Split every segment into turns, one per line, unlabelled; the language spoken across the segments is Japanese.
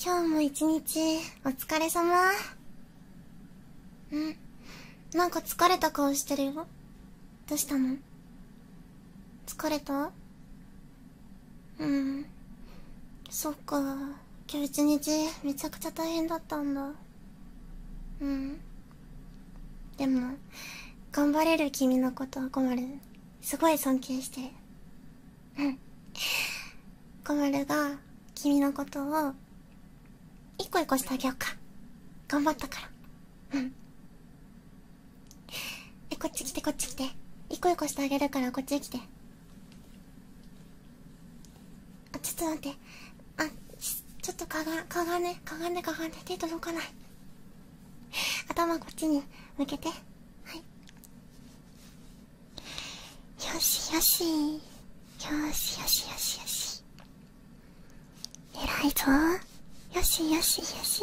今日も一日お疲れ様うんなんか疲れた顔してるよどうしたの疲れたうんそっか今日一日めちゃくちゃ大変だったんだうんでも頑張れる君のことは困るすごい尊敬してうん。マルが君のことを一個一個してあげようか頑張ったからうんえこっち来てこっち来て一個一個してあげるからこっち来てあちょっと待ってあちょっとかがかがねかがねかがね手届かない頭こっちに向けてはいよしよしよしよしよしよし
偉いぞよしよしよし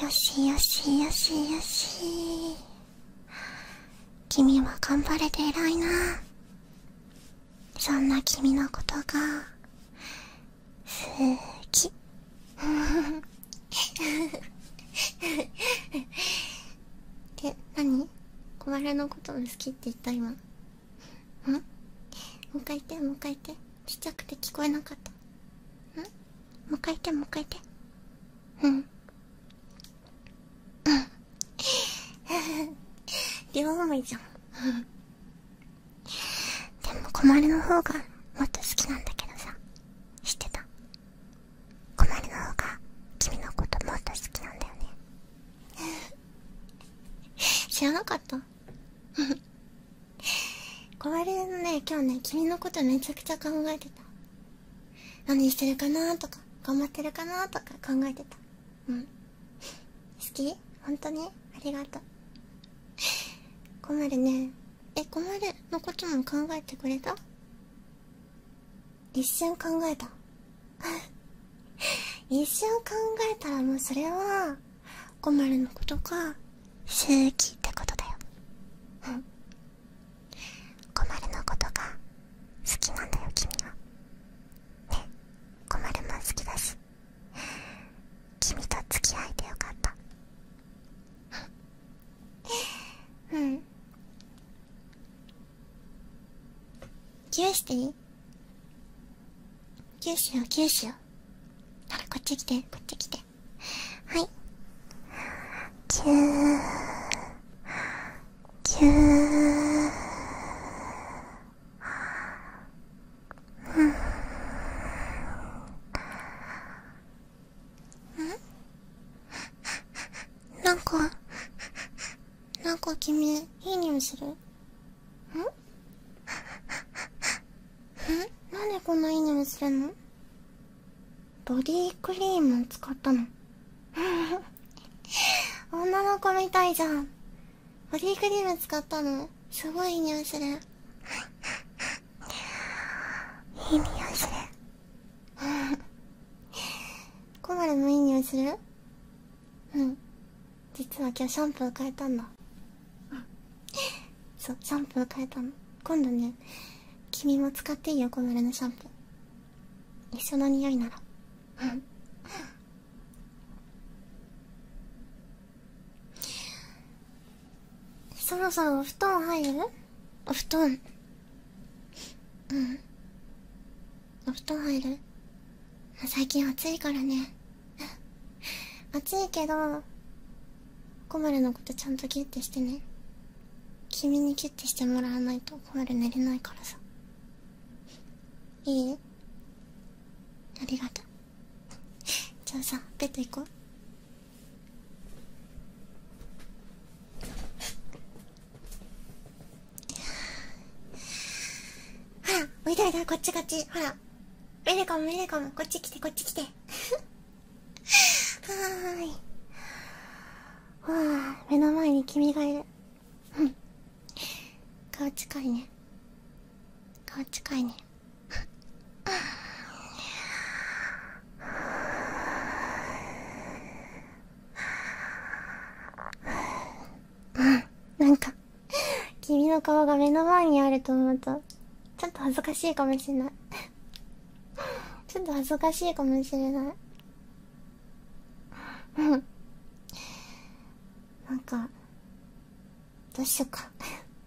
よしよしよしよし君は頑張れて偉いなそんな君のことが好き え、なに小腹のことも好きって言った今うんもう一回言ってもう一回言ってちっちゃくて聞こえなかったんもう一回言ってもう一回言ってうんうん 両思いじゃんでも小丸の方がもっと好きなんだけどさ知ってたコマリの方が君のこともっと好きなんだよね 知らなかったコマリのね今日ね君のことめちゃくちゃ考えてた何してるかなとか頑張ってるかなとか考えてたうん好き本当にありがとう 困るねえ困るのことも考えてくれた一瞬考えた 一瞬考えたらもうそれは困るのことか周期ってことだようん 困るのこと
が好きなんだよ君はね困るも好きだし君と付き合えてよかった
うんキューしていいキューしようキューしようほらこっち来てこっち来てはいキューキューキューキューん なんかなんか君いい匂いするんんなんでこんないい匂いするのボディクリーム使ったの 女の子みたいじゃんボディクリーム使ったのすごいいい匂いするいい匂いするコマルもいい匂いするうん実は今日シャンプー変えたんだそうシャンプー変えたの今度ね君も使っていいよコマルのシャンプー一緒の匂いならううん。ん。そろそろお布団入るお布団うんお布団入る最近暑いからね暑いけどコマルのことちゃんとギュッてしてね君にギュッてしてもらわないとコマル寝れないからさいいありがとうじゃあさベッド行こうほら見た見たこっちこっちほらメレコムメレコムこっち来てこっち来てはーいはあ目の前に君がいる顔近いね顔近いねなんか君の顔が目の前にあると思うとちょっと恥ずかしいかもしれないちょっと恥ずかしいかもしれないうんなんかどうしよっか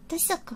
どうしよっか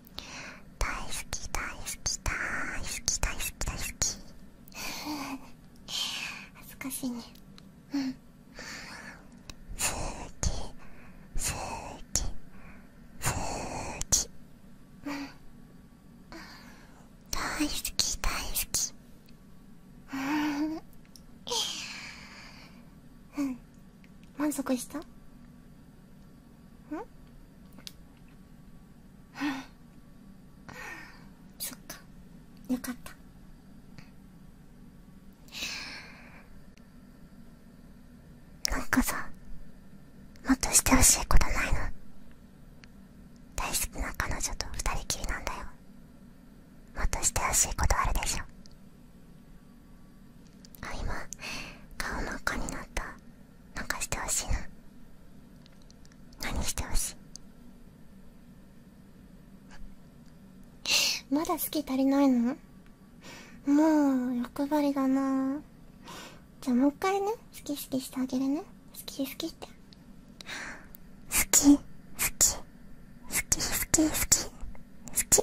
大好き大好き大好き大好き大好
き恥ずかしいねうん好き好き
好き大好き
大好きうん満足したんそっか
よかったなんかさもっとしてほしいことないの大好きな彼女と二人きりなんだよもっとしてほしいことあるでしょあ今顔真っ赤に
なったなんかしてほしいな何してほしい まだ好き足りないのもう欲張りだなじゃあもう一回ね好き好きしてあげるね好き好きって好き好き好き好き好き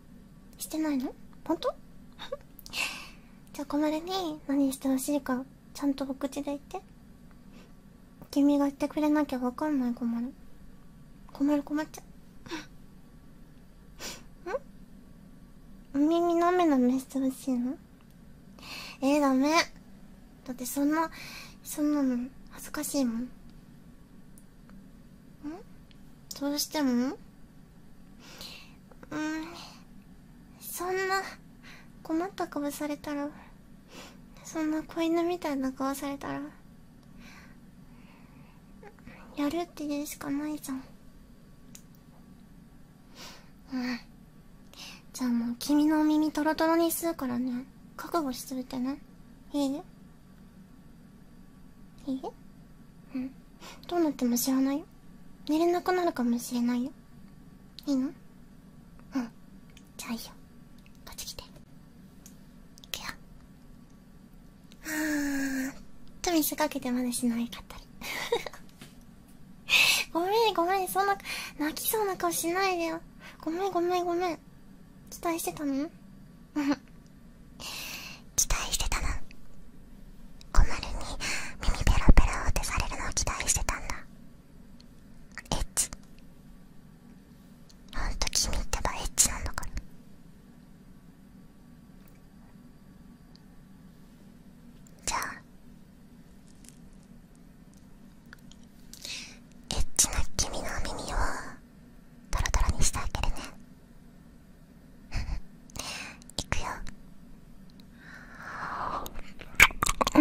してないの本当 じゃあ小丸に何してほしいかちゃんとお口で言って君が言ってくれなきゃ分かんない小丸小丸困っちゃう んお耳の目の目してほしいのええ、ダメだってそんなそんなの恥ずかしいもんんどうしてもうんそんな困った顔されたらそんな子犬みたいな顔されたらやるって言うしかないじゃんうんじゃあもう君のお耳トロトロにするからね覚悟しといてねいいいいうんどうなっても知らないよ寝れなくなるかもしれないよいいのうんじゃあいいよこっち来ていくよあーっと見せかけてまでしないかったり ごめんごめんそんな泣きそうな顔しないでよごめんごめんごめん期待してたの期待してたな小丸に
耳ペラペラ当てされるのを期待してたんだエッチほんと君ってばエッチなんだからじゃあエッチな君の耳をトロトロにしてあげるねいくよあ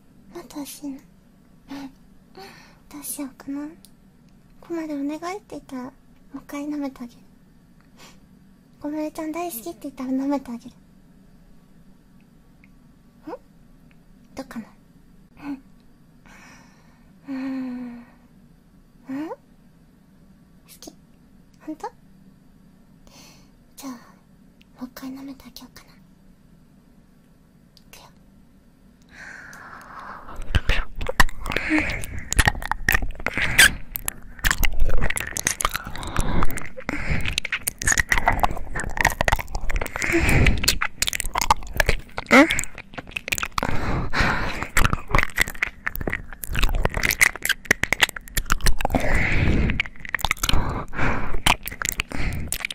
またしなどうしようかなここまでお願いって言ったらもう一回舐めてあげる小室ちゃん大好きって言ったら舐めてあげるんどうかなうーんうん好きほんとじゃもう一回舐めてあげようかないくようん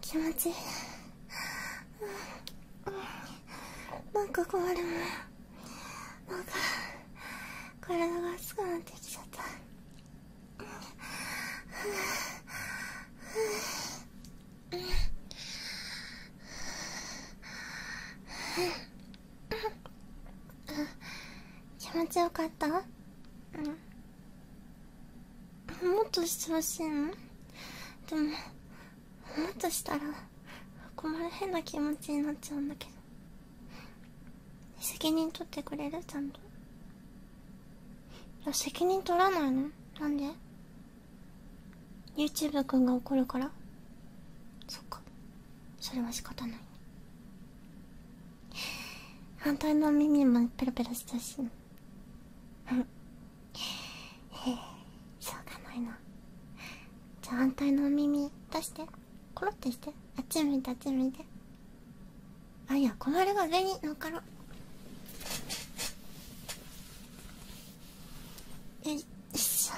気持ちいいなんか困るもんなん
か体が熱くなってきちゃったははは
気持ちよかったうんもっとしてほしいのでももっとしたら困る変な気持ちになっちゃうんだけど責任取ってくれるちゃんといや責任取らないのなんで YouTube くが怒るからそっかそれは仕方ない反対の耳もペロペロしたしうん しょうがないなじゃあ反対の耳出してコロってしてあっち向いてあっち向いてあいや小れが上に乗っかろよいし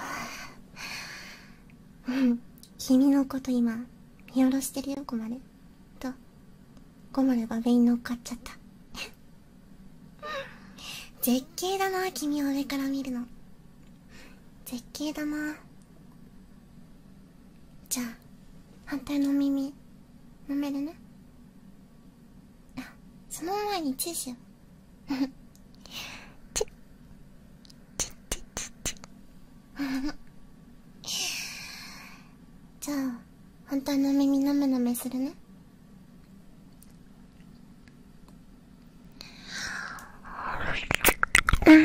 ょうん君のこと今見下ろしてるよコマルとコマルが上に乗っかっちゃった 絶景だな君を上から見るの絶景だなじゃあ反対の耳飲めるねあその前にチューしようチュッチュッチュッチュッじゃあ本当の耳なめなめするねうん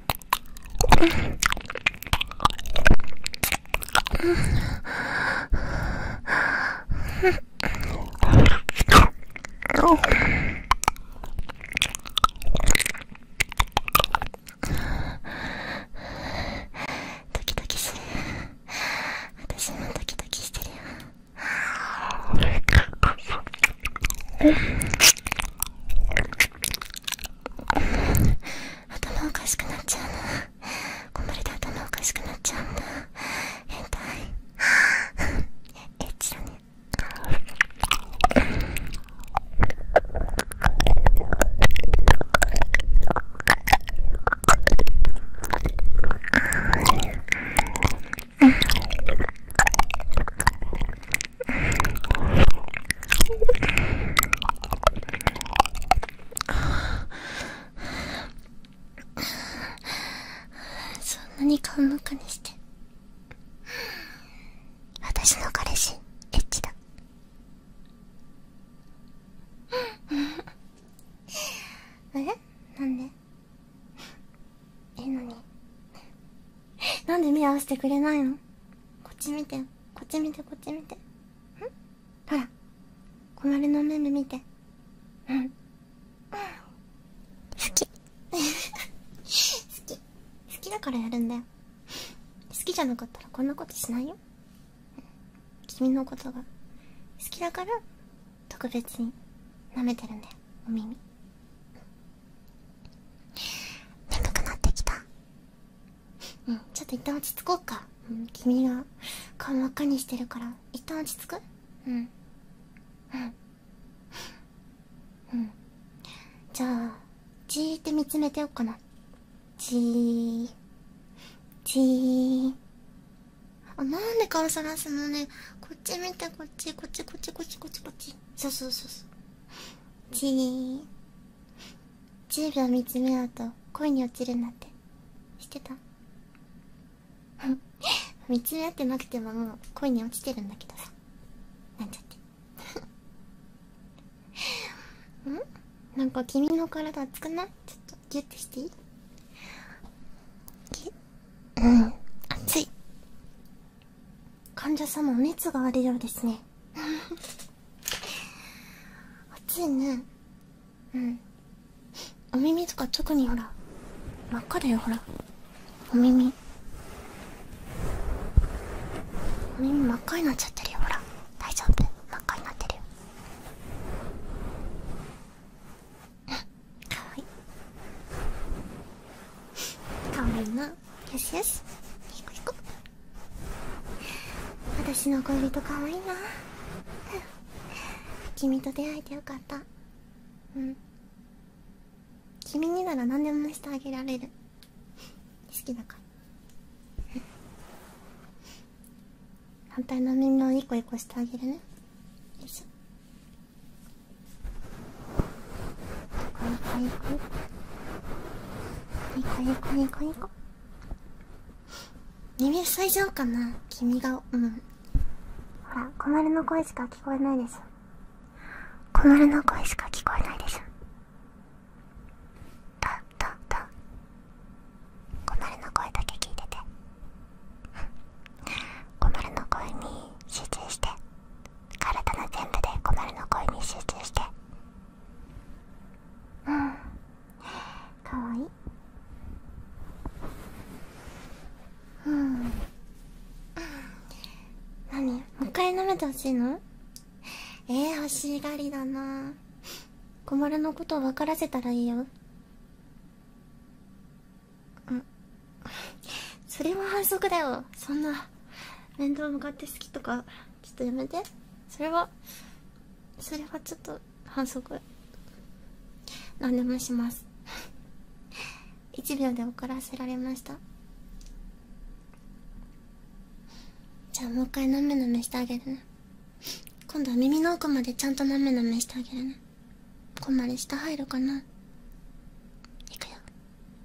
ドキドキてる私もドキドキしてるよ頭おかしくなっちゃうなこん頭おかしくなっちゃうな。変態エッチだねそんなに顔向かにして
私の彼氏エッチだ
えなんでええのになんで目合わせてくれないのこっち見てよこっち見てこっち見てんほら小丸のムー見てうん好き好き好きだからやるんだよ好きじゃなかったらこんなことしないよ君のことが好きだから特別に舐めてるんだよお耳眠くなってきたうんちょっといったん落ち着こうか、君が顔真っ赤にしてるからいったん落ち着くうんうんうんじゃあじーって見つめてよっかなじーじーあなんで顔そらすのねこっち見てこっちこっちこっちこっちこっちこっちそうそうそうそうじー10秒見つめ合うと恋に落ちるんだって知ってた 見つめ合ってなくてももう恋に落ちてるんだけどさなんちゃって んなんか君の体熱くないちょっとギュッてしていいギュッうん熱い患者さ様お熱があるようですね暑いねうんお耳とか特にほら真っ赤だよほらお耳お耳真っ赤になっちゃってるよほら大丈夫真っ赤になってるよかわいいかわいいなよしよし行こ行こ私の恋人かわいいな君と出会えてよかったうん君になら何でもしてあげられる好きだから反対の耳をイコイコしてあげるねよいしょイコイコイコ耳塞いじゃおうかな君がうんほら小丸の声しか聞こえないです小丸の声しか聞こえないですとだと小
丸の声だけ聞いてて小丸の声に集中して体の全部で小丸の声に集中して
かわいいうん何もう一回舐めてほしいのええ、欲しがりだな小丸のことを分からせたらいいようんそれは反則だよそんな面倒向かって好きとかちょっとやめてそれはそれはちょっと反則何でもします1 秒で怒らせられましたじゃあもう一回なめなめしてあげるね今度は耳の奥までちゃんとなめなめしてあげるねここまで下入るかないくよ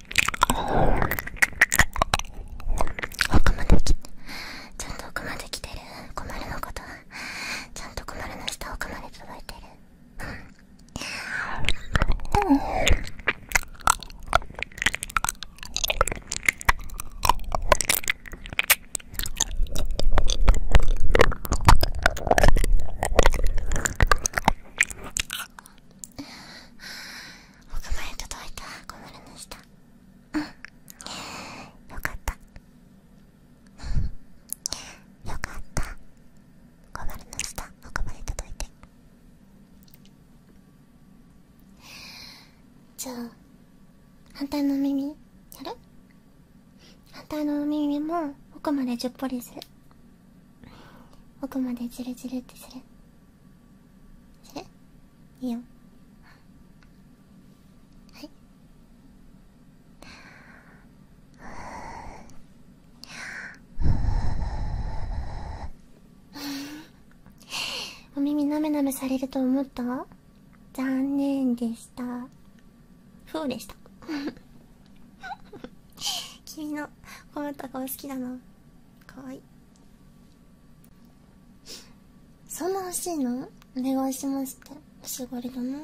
奥まで来てちゃんと奥まで来てる困るのことはちゃんと困るの下奥まで届いてるん奥まで届いた小丸の下うんよかったよかった小丸の下奥まで届いてじゃあ反対の耳やる反対の耳も奥までじゅっぽりする奥までじるじるってするするいいよはいお耳なめなめされると思った残念でしたふうでした 君の困った顔好きだなかわいいそんな欲しいのお願いしますってしぼりだな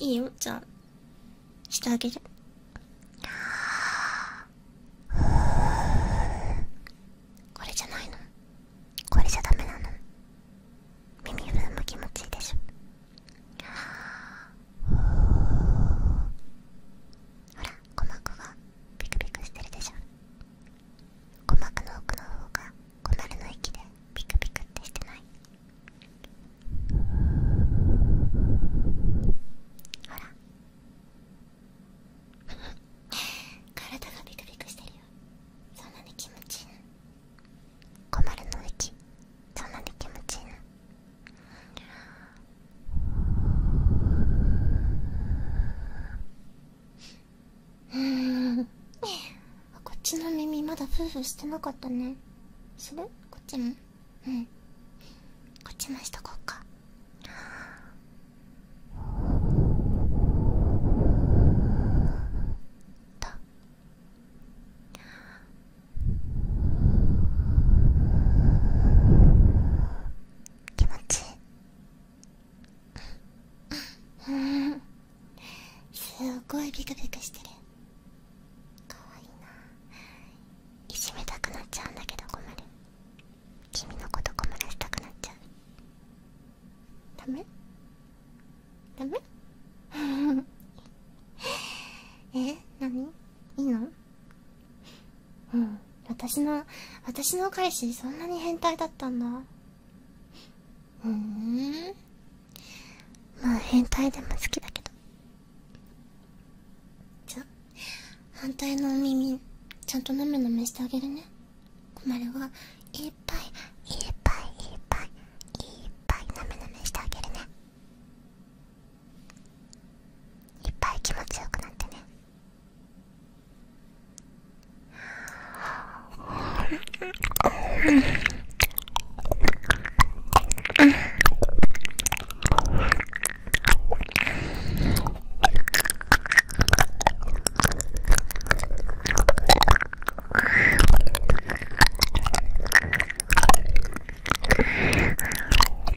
いいよじゃあしてあげるこれじゃないのこれじゃダメなの耳振るの気持ちいいでしょほら鼓膜がビクビクしてるでしょ鼓膜の奥の方が小丸の息でビクビクってしてないほら体がビクビクしてるよそんなに気持ちいいな小丸の息そんなに気持ちいいの。うん。こっちの耳まだフーフーしてなかったねするこっちもうんこっちもしとこうかと。
気持ちいいすご
いビクビクしてるかわ
いいないじめたくなっちゃうんだけど困る君のこと困らせたくなっちゃう
ダメダメ え何いいのうん私の私の彼氏そんなに変態だったんだふんまあ変態でも好きだけどじゃ反対のお耳ちゃんとなめなめしてあげるねこまるはいっぱいいっぱいいっぱいいっぱいなめなめしてあげるねいっぱい気持ちよくなってね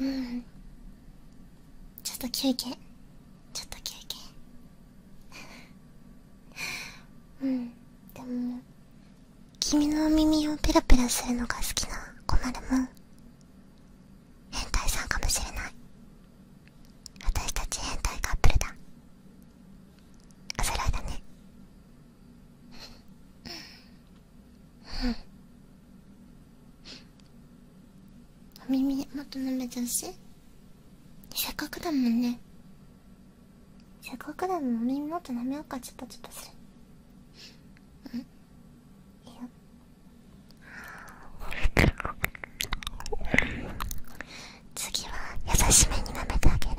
うんちょっと休憩ちょっと休憩うんでも君のお耳をペラペラするのが好きなコまルも
変態さんかもしれない私たち変態カップルだお揃いだね
お耳もっと舐めちゃうしせっかくだもんねせっかくだもんお耳もっと舐めようかちょっとちょっとするうんいや次は優しめに舐めてあげる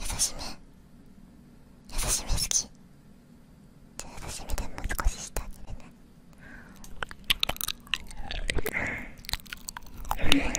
優しめ優しめ好きじゃあ優しめでもう少ししてあげるねあ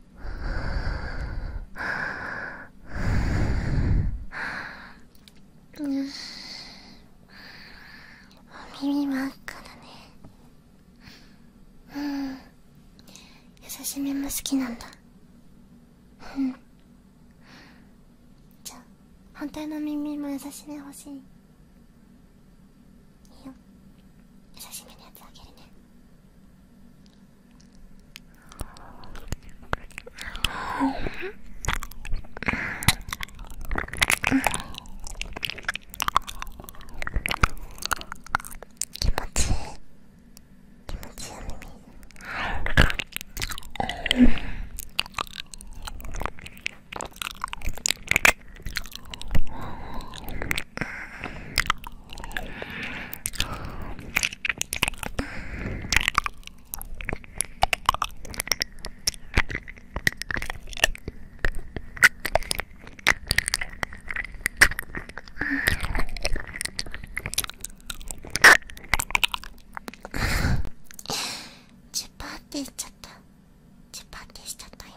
ははうんお耳真っ赤だねうん優しめも好きなんだうんじゃあ反対の耳も優しめ欲しいいいよ優しめのやつあげるね気持ちいい気持ちいいよ耳
チュパーってしちゃったチュパーってしちゃった今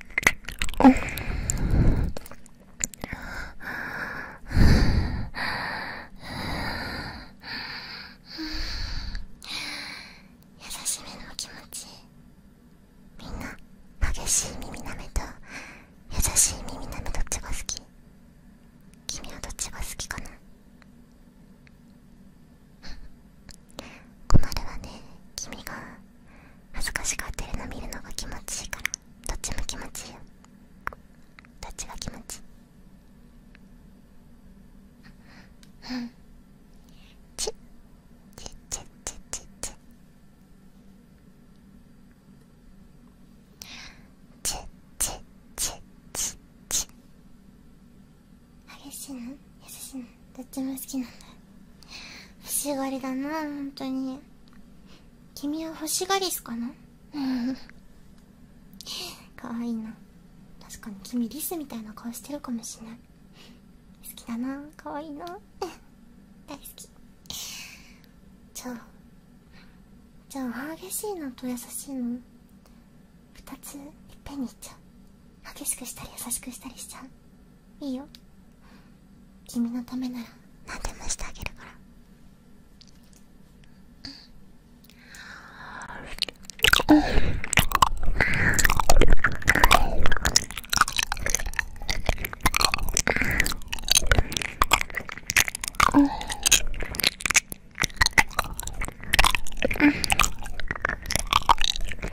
優しめのお気持ちみんな激しい耳なめと優しい耳なめどっちが好き君はどっちが好きかな 困るわね君が恥ずかしがってるの見るのが気持ちいいからどっちも気持ちいいよどっちが気持ちいいチッチッ
チッチッチッチッチッチッチッチッチッ激しいの優しいのどっちも好きなんだ欲しがりだな本当に君は欲しがりすかなかわいいな確かに君リスみたいな顔してるかもしれない好きだなかわいいな 大好きじゃあじゃあ激しいのと優しいの2ついっぺんにいっちゃう激しくしたり優しくしたりしちゃういいよ君のためなら何でもしてあげるから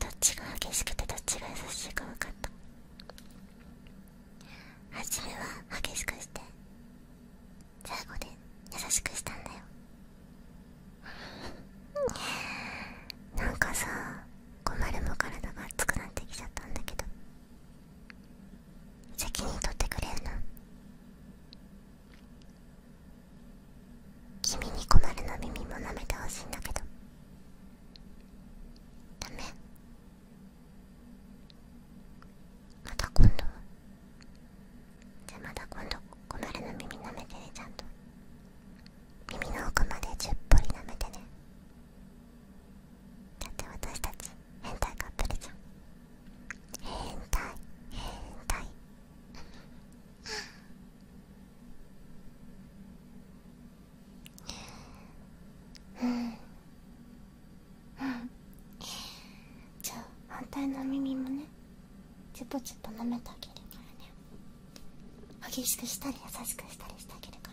どっちが激しくてどっちが優しいか分かった初めは激しくして最後で優しくしたんだよなんかさ困るも体が熱くなってきちゃったんだけど責任取ってくれるの君に困るの耳も舐めてほしいんだけどダメ
また今度じゃまた今度困るの耳舐めてねちゃんと耳の奥までじゅっぽり舐めてねだって私たち変態カップルじゃん変態変態うんうんじゃあ反対の耳もねチュポチュポ舐めてあげるからね激しくしたり優しくしたりしてあげるから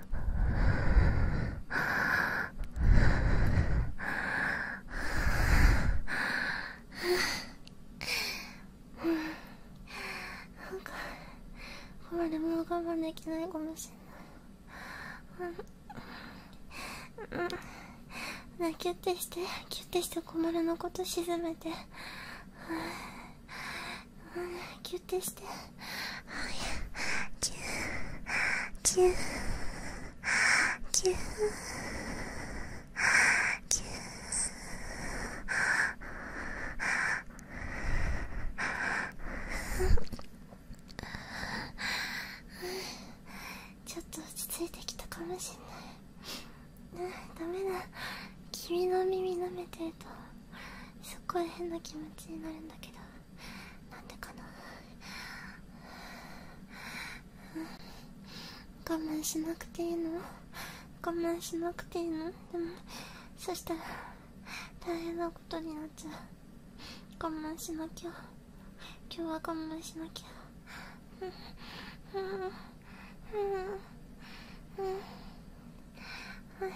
はははなんかこれも我慢できないかもしれないうん、うん、キュッてしてキュッてして困るのこと沈めて、うん、キュッてして。
キューキューキュー
ちょっと落ち着いてきたかもしんないダメだ君の耳舐めてるとすっごい変な気持ちになるんだけど。なんでかな我慢しなくていいの我慢しなくていいのでもそしたら大変なことになっちゃう我慢しなきゃ今日は我慢しなきゃうんうんうんうんはい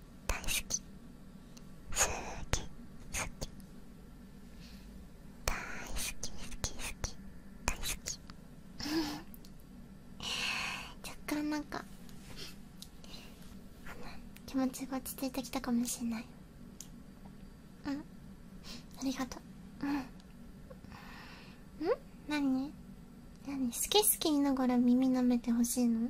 大好き好き大好き好き大好き 若干なんか気持ちが落ち着いてきたかもしれないありがとううんん何何好き好き言いながら耳舐めてほしいの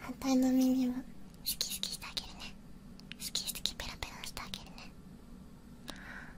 反対の耳も好き好きしてあげるね好き好きペラペラしてあげるね。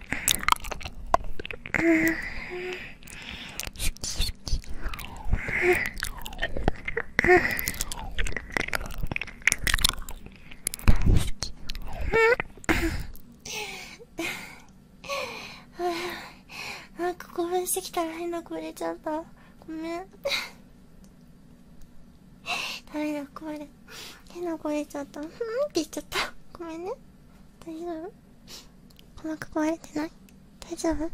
うんうか興ん、してきたら変な声出ちゃったごめんダメだ壊れ変な声出ちゃったうんって言っちゃったごめんね大丈夫鼓膜壊れてない大丈夫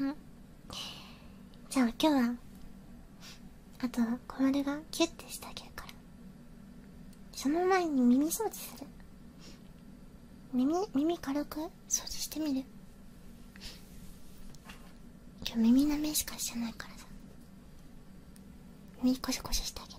うんじゃあ今日はあとは、小丸がキュッてしてあげるからその前に耳掃除する耳耳軽く掃除してみる今日耳舐めしかしてないからさ耳コシコシしてあげる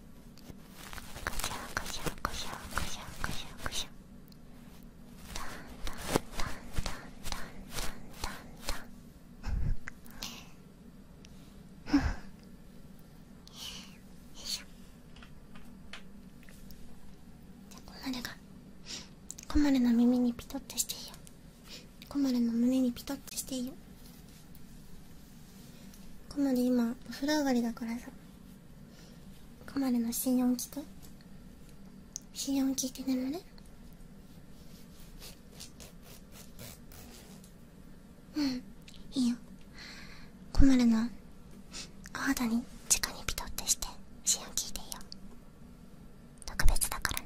しこしゃこしゃこしゃこしゃこしょこまるがこまるの耳にピトってしていいよこまるの胸にピトってしていいよコマで今お風呂上がりだからさコマでの心音聞く心音聞いて眠るうんいいよコマでのお肌に直
にピトってして心音聞いていいよ特別だからね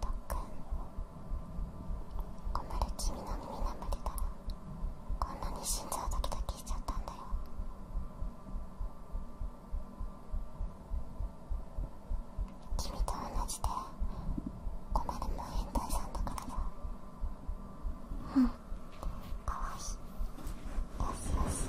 とっくん困る君の耳眠れたらこんなに心臓ドキドキしちゃったんだよ君と同じで困るも変態さんだからさうんかわいいよしよし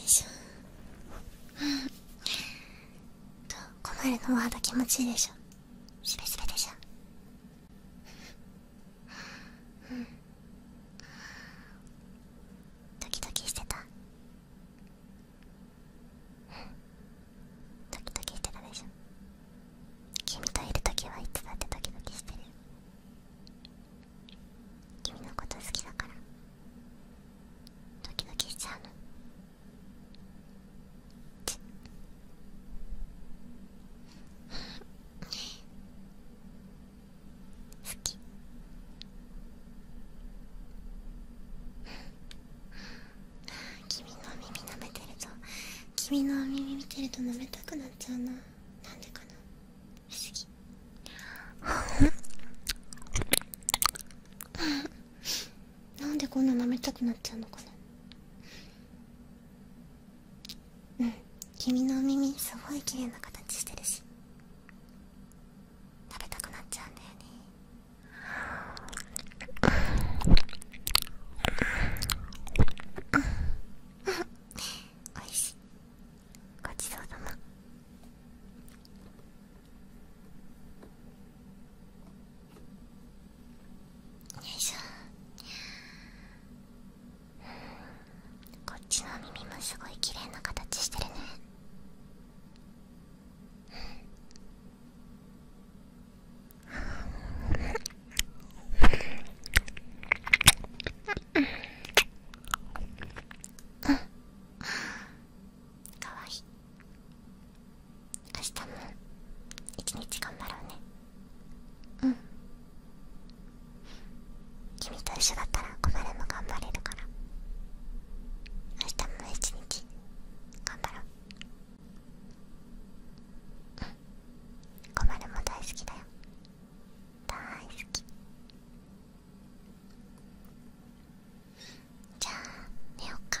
いしょと困るのお肌気持ちいいでしょすべすべでしょドキドキしてたドキドキしてたでしょ君といる時はいつだってドキドキしてる君のこと好きだから
ドキドキしちゃうのね。好き君の耳舐めてると君の耳見てると舐めたくなっちゃうななんでかな不思議なんでこんな舐めたくなっちゃうのかなうん君のお耳すごい綺麗な形してるし食べたくなっちゃうんだよねおいしい
ごちそうさまよいしょこっちの耳もすごい綺麗な形してるねかわいい明日も一日頑張ろうねうん君と一緒だったら小丸も頑張れるから明日も一日頑張ろううん小も大好きだよ大好きじゃあ寝ようか